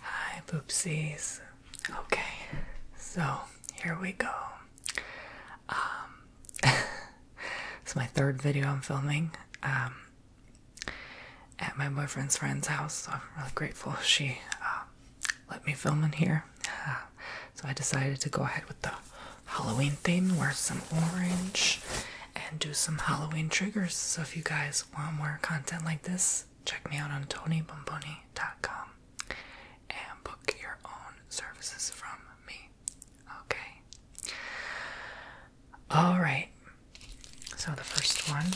Hi, poopsies. Okay, so here we go. Um, it's my third video I'm filming um, at my boyfriend's friend's house. So I'm really grateful she uh, let me film in here. Uh, so I decided to go ahead with the Halloween theme, wear some orange, and do some Halloween triggers. So if you guys Want more content like this, check me out on tonybomboni.com and book your own services from me. Okay? Alright. So the first one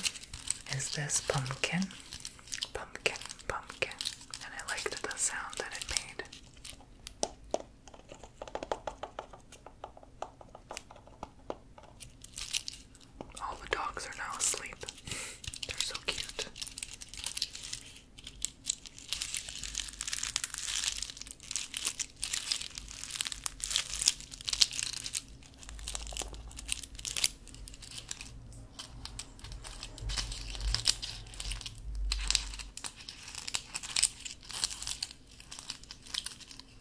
is this pumpkin. Pumpkin, pumpkin. And I liked the sound that it made. All the dogs are now asleep. They're so cute.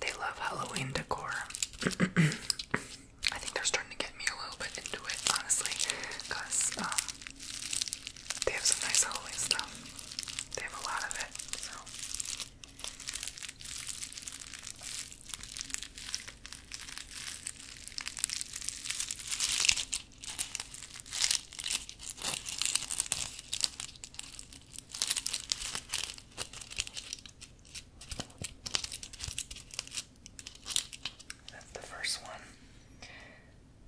They love Halloween decor. I think they're starting to get me a little bit into it, honestly, because um, they have some nice Halloween stuff. They have a lot of it, so. That's the first one.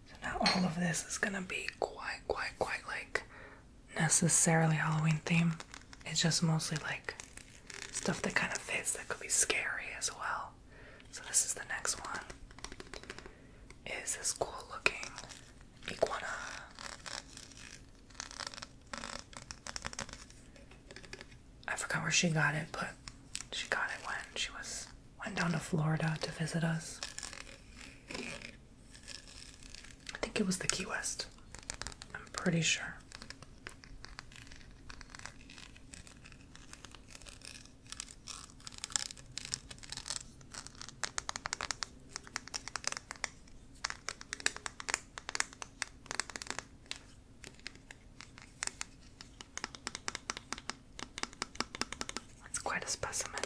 So now all of this is gonna be quite, quite, quite like necessarily Halloween theme. It's just mostly like stuff that kind of fits that could be scary as well. So this is the next one is this cool looking iguana. I forgot where she got it, but she got it when she was went down to Florida to visit us. I think it was the Key West. I'm pretty sure. That's quite a specimen.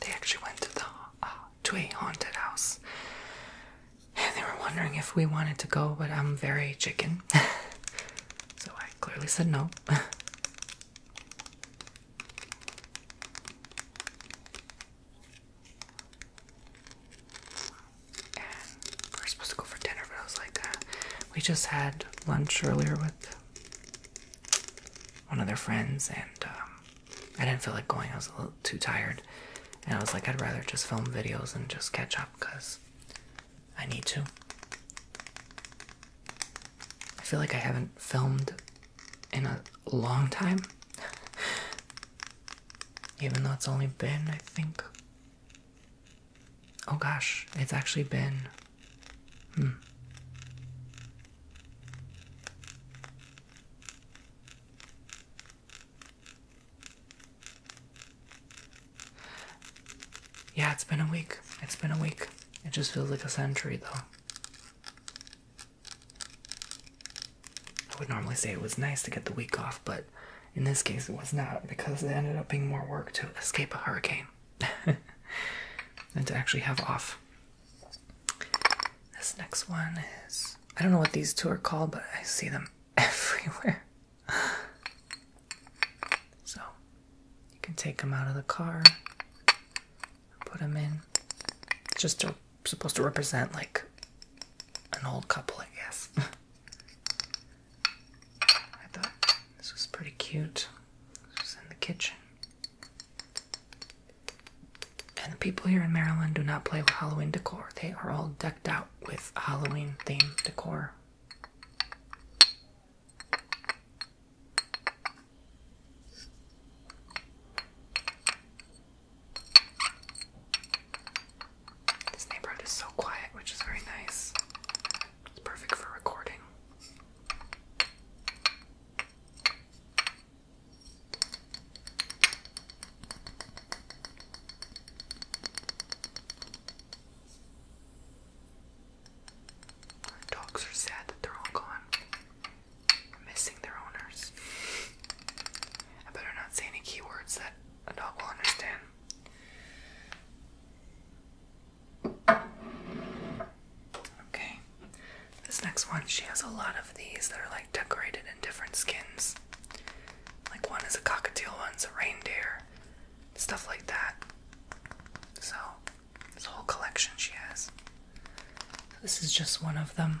They actually went to the uh, to a haunted house, and they were wondering if we wanted to go, but I'm very chicken, so I clearly said no. we are supposed to go for dinner, but I was like, uh, we just had lunch earlier with one of their friends, and um, I didn't feel like going. I was a little too tired, and I was like, I'd rather just film videos and just catch up because I need to. I feel like I haven't filmed in a long time, even though it's only been, I think, Oh gosh, it's actually been. Hmm. Yeah, it's been a week. It's been a week. It just feels like a century, though. I would normally say it was nice to get the week off, but in this case it was not because it ended up being more work to escape a hurricane game than to actually have off. This next one is I don't know what these two are called, but I see them everywhere. so you can take them out of the car, put them in. just supposed to represent like an old couple, I guess. I thought this was pretty cute. This was in the kitchen. And the people here in Maryland do not play with Halloween decor. They are all decked out with Halloween themed decor. This neighborhood is so quiet, which is very nice. It's perfect for recording. Our dogs are sad that they're all gone. missing their owners. I better not say any keywords that a dog will understand. Okay. This next one, she has a lot of these that are like decorated in different skins. Like one is a cockatiel, one's a reindeer, stuff like that. So, this whole collection she has. This is just one of them.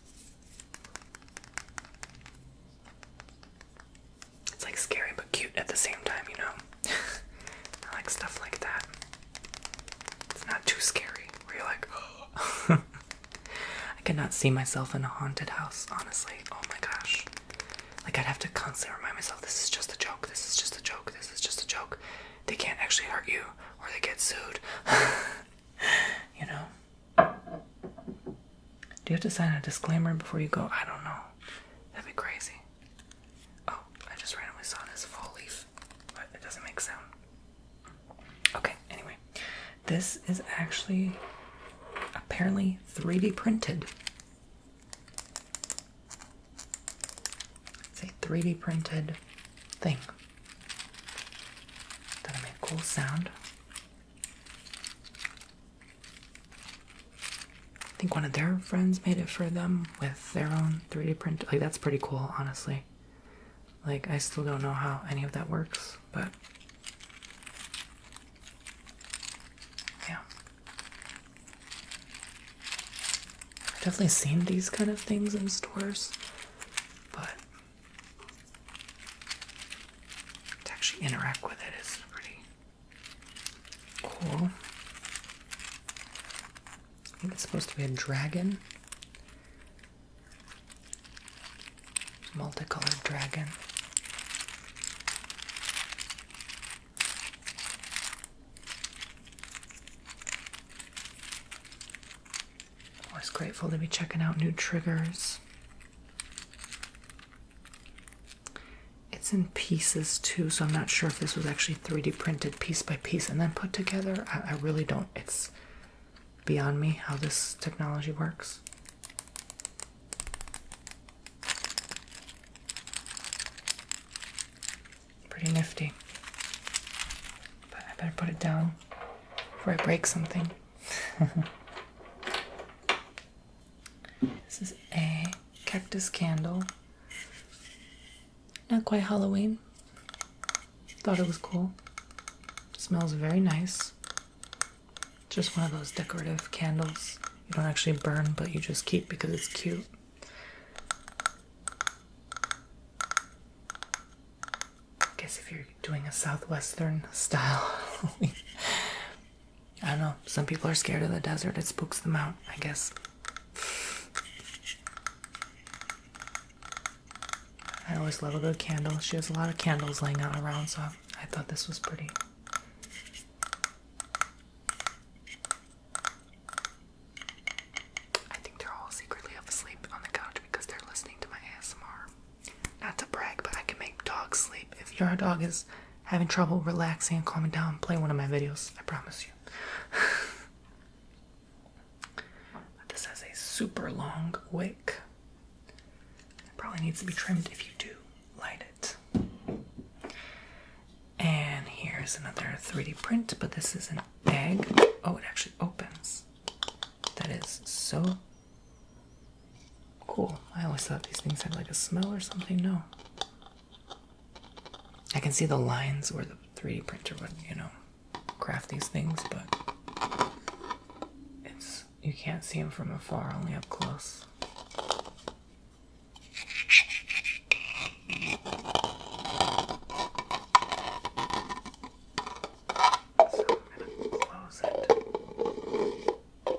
It's like scary but cute at the same time, you know? I like stuff like that. It's not too scary where you're like, oh. I cannot see myself in a haunted house, honestly. Oh my gosh. Like, I'd have to constantly remind myself this is just a joke, this is just a joke, this is just a joke. They can't actually hurt you or they get sued. you know? Do you have to sign a disclaimer before you go? I don't know. That'd be crazy. Oh, I just randomly saw this fall leaf, but it doesn't make sound. Okay, anyway. This is actually apparently 3D printed. It's a 3D printed thing. That'll make cool sound. I think one of their friends made it for them with their own 3D printer. Like, that's pretty cool, honestly. Like, I still don't know how any of that works, but. Yeah. I've definitely seen these kind of things in stores, but to actually interact with it is pretty cool. I think it's supposed to be a dragon. Multicolored dragon. Always grateful to be checking out new triggers. It's in pieces too, so I'm not sure if this was actually 3D printed piece by piece and then put together. I, really don't. It's beyond me how this technology works. Pretty nifty. But I better put it down before I break something. this is a cactus candle. Not quite Halloween. Thought it was cool. Smells very nice. Just one of those decorative candles you don't actually burn, but you just keep because it's cute. I guess if you're doing a southwestern style, I don't know. Some people are scared of the desert, it spooks them out, I guess. I always love a good candle. She has a lot of candles laying out around, so I thought this was pretty. I think they're all secretly up asleep on the couch because they're listening to my ASMR. Not to brag, but I can make dogs sleep. If your dog is having trouble relaxing and calming down, play one of my videos. I promise you. this has a super long wick. It probably needs to be trimmed if you do light it. And here's another 3D print, but this is not egg. Oh, it actually opens. That is so cool. I always thought these things had like a smell or something. No. I can see the lines where the 3D printer would, you know, craft these things, but it's you can't see them from afar, only up close. So I'm gonna close it.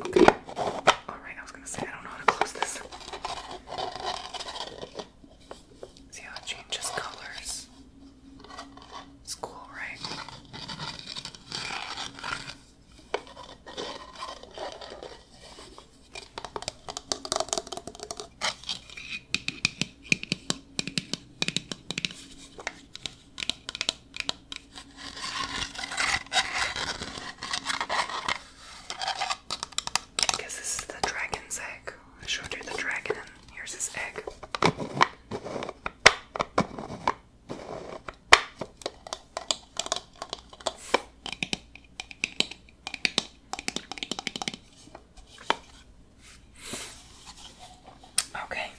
Okay. Alright, I was gonna say I don't know how to close this. See how it changes colors? It's cool, right? I this is the dragon's egg. I showed you the dragon, and here's his egg. Okay,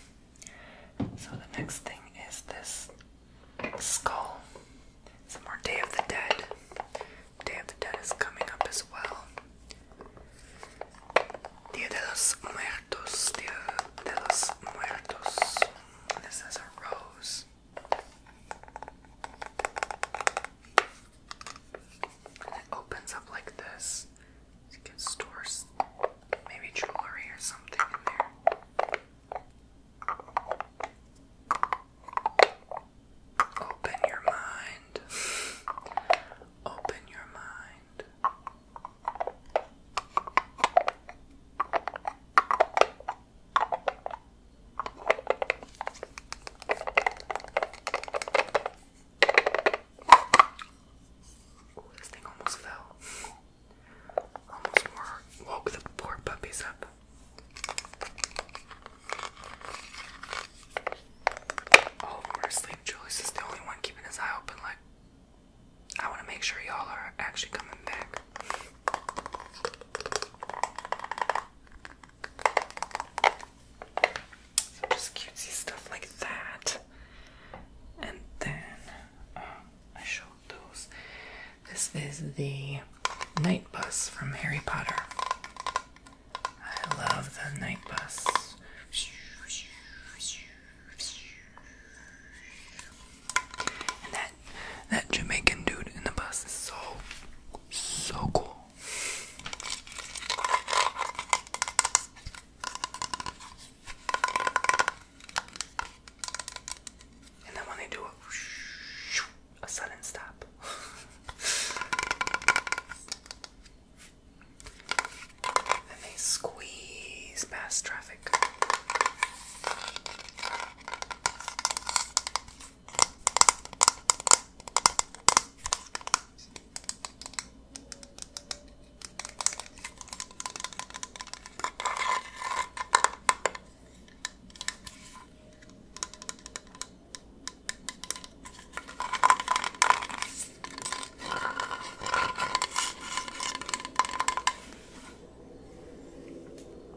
so the next thing is this skull. Some more Day of the Dead. Day of the Dead is coming up as well. Dia de los Muertos, Dia de los Muertos. This is a rose. it opens up like this. You can maybe jewelry or something in there. Open your mind. Open your mind. Ooh, this thing almost fell. Almost woke the poor puppies up. All of them are Julius is the only one keeping his eye open. Like, I want to make sure y'all are actually coming back. just cutesy stuff like that. And then um, I showed those. This is the night bus from Harry Potter. I love the night bus. And that that Jamaican dude in the bus is so so cool. And then when they do a, sudden stop. and they squeeze past traffic.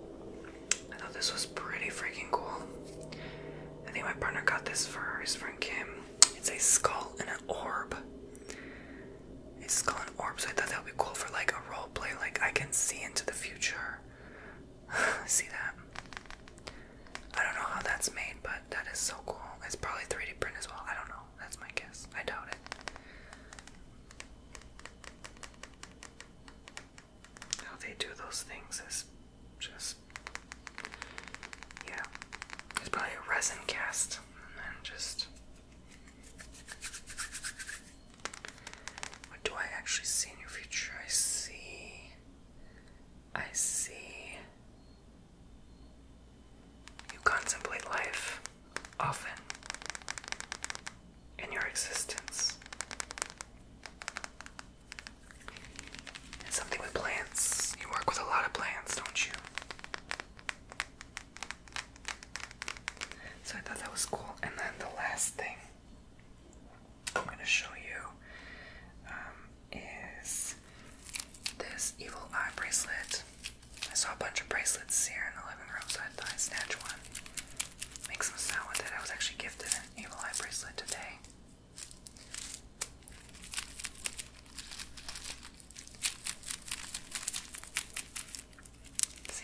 I thought this was pretty freaking cool. I think my partner got this for his friend Kim. It's a skull and an orb. A skull and orb, so I thought that would be cool for like a role play, like I can see into the future. see that? I don't know how that's made, but that is so cool. It's probably 3D print as well. I don't know. That's my guess. I doubt it. How they do those things is just yeah. It's probably a resin cast and then just what do I actually see in your future? I see I see. You contemplate life often in your existence. And something with plants. You work with a lot of plants, don't you? So I thought that was cool. And then the last thing I'm going to show you um, is this evil eye bracelet. I saw a bunch of bracelets here in the living room, so I thought I'd snatch one. Make some sound with it. I was actually gifted an evil eye bracelet today.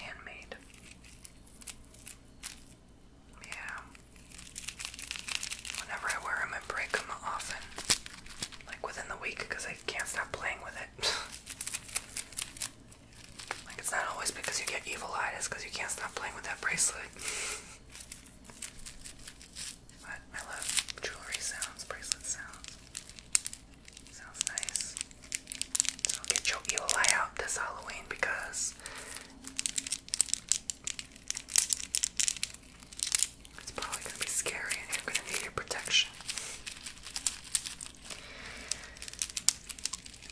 handmade. Yeah. Whenever I wear them, I break them often. Like within the week, because I can't stop playing with it. like, it's not always because you get evil eyed, because you can't stop playing with that bracelet. but I love jewelry sounds, bracelet sounds. Sounds nice. So get your evil eye out this Halloween because it's probably going to be scary and you're going to need your protection.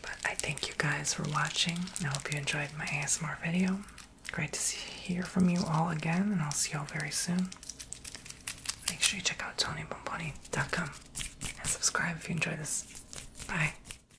But I thank you guys for watching. I hope you enjoyed my ASMR video. Great to hear from you all again, and I'll see you all very soon. Make sure you check out TonyBomboni.com and subscribe if you enjoy this. Bye.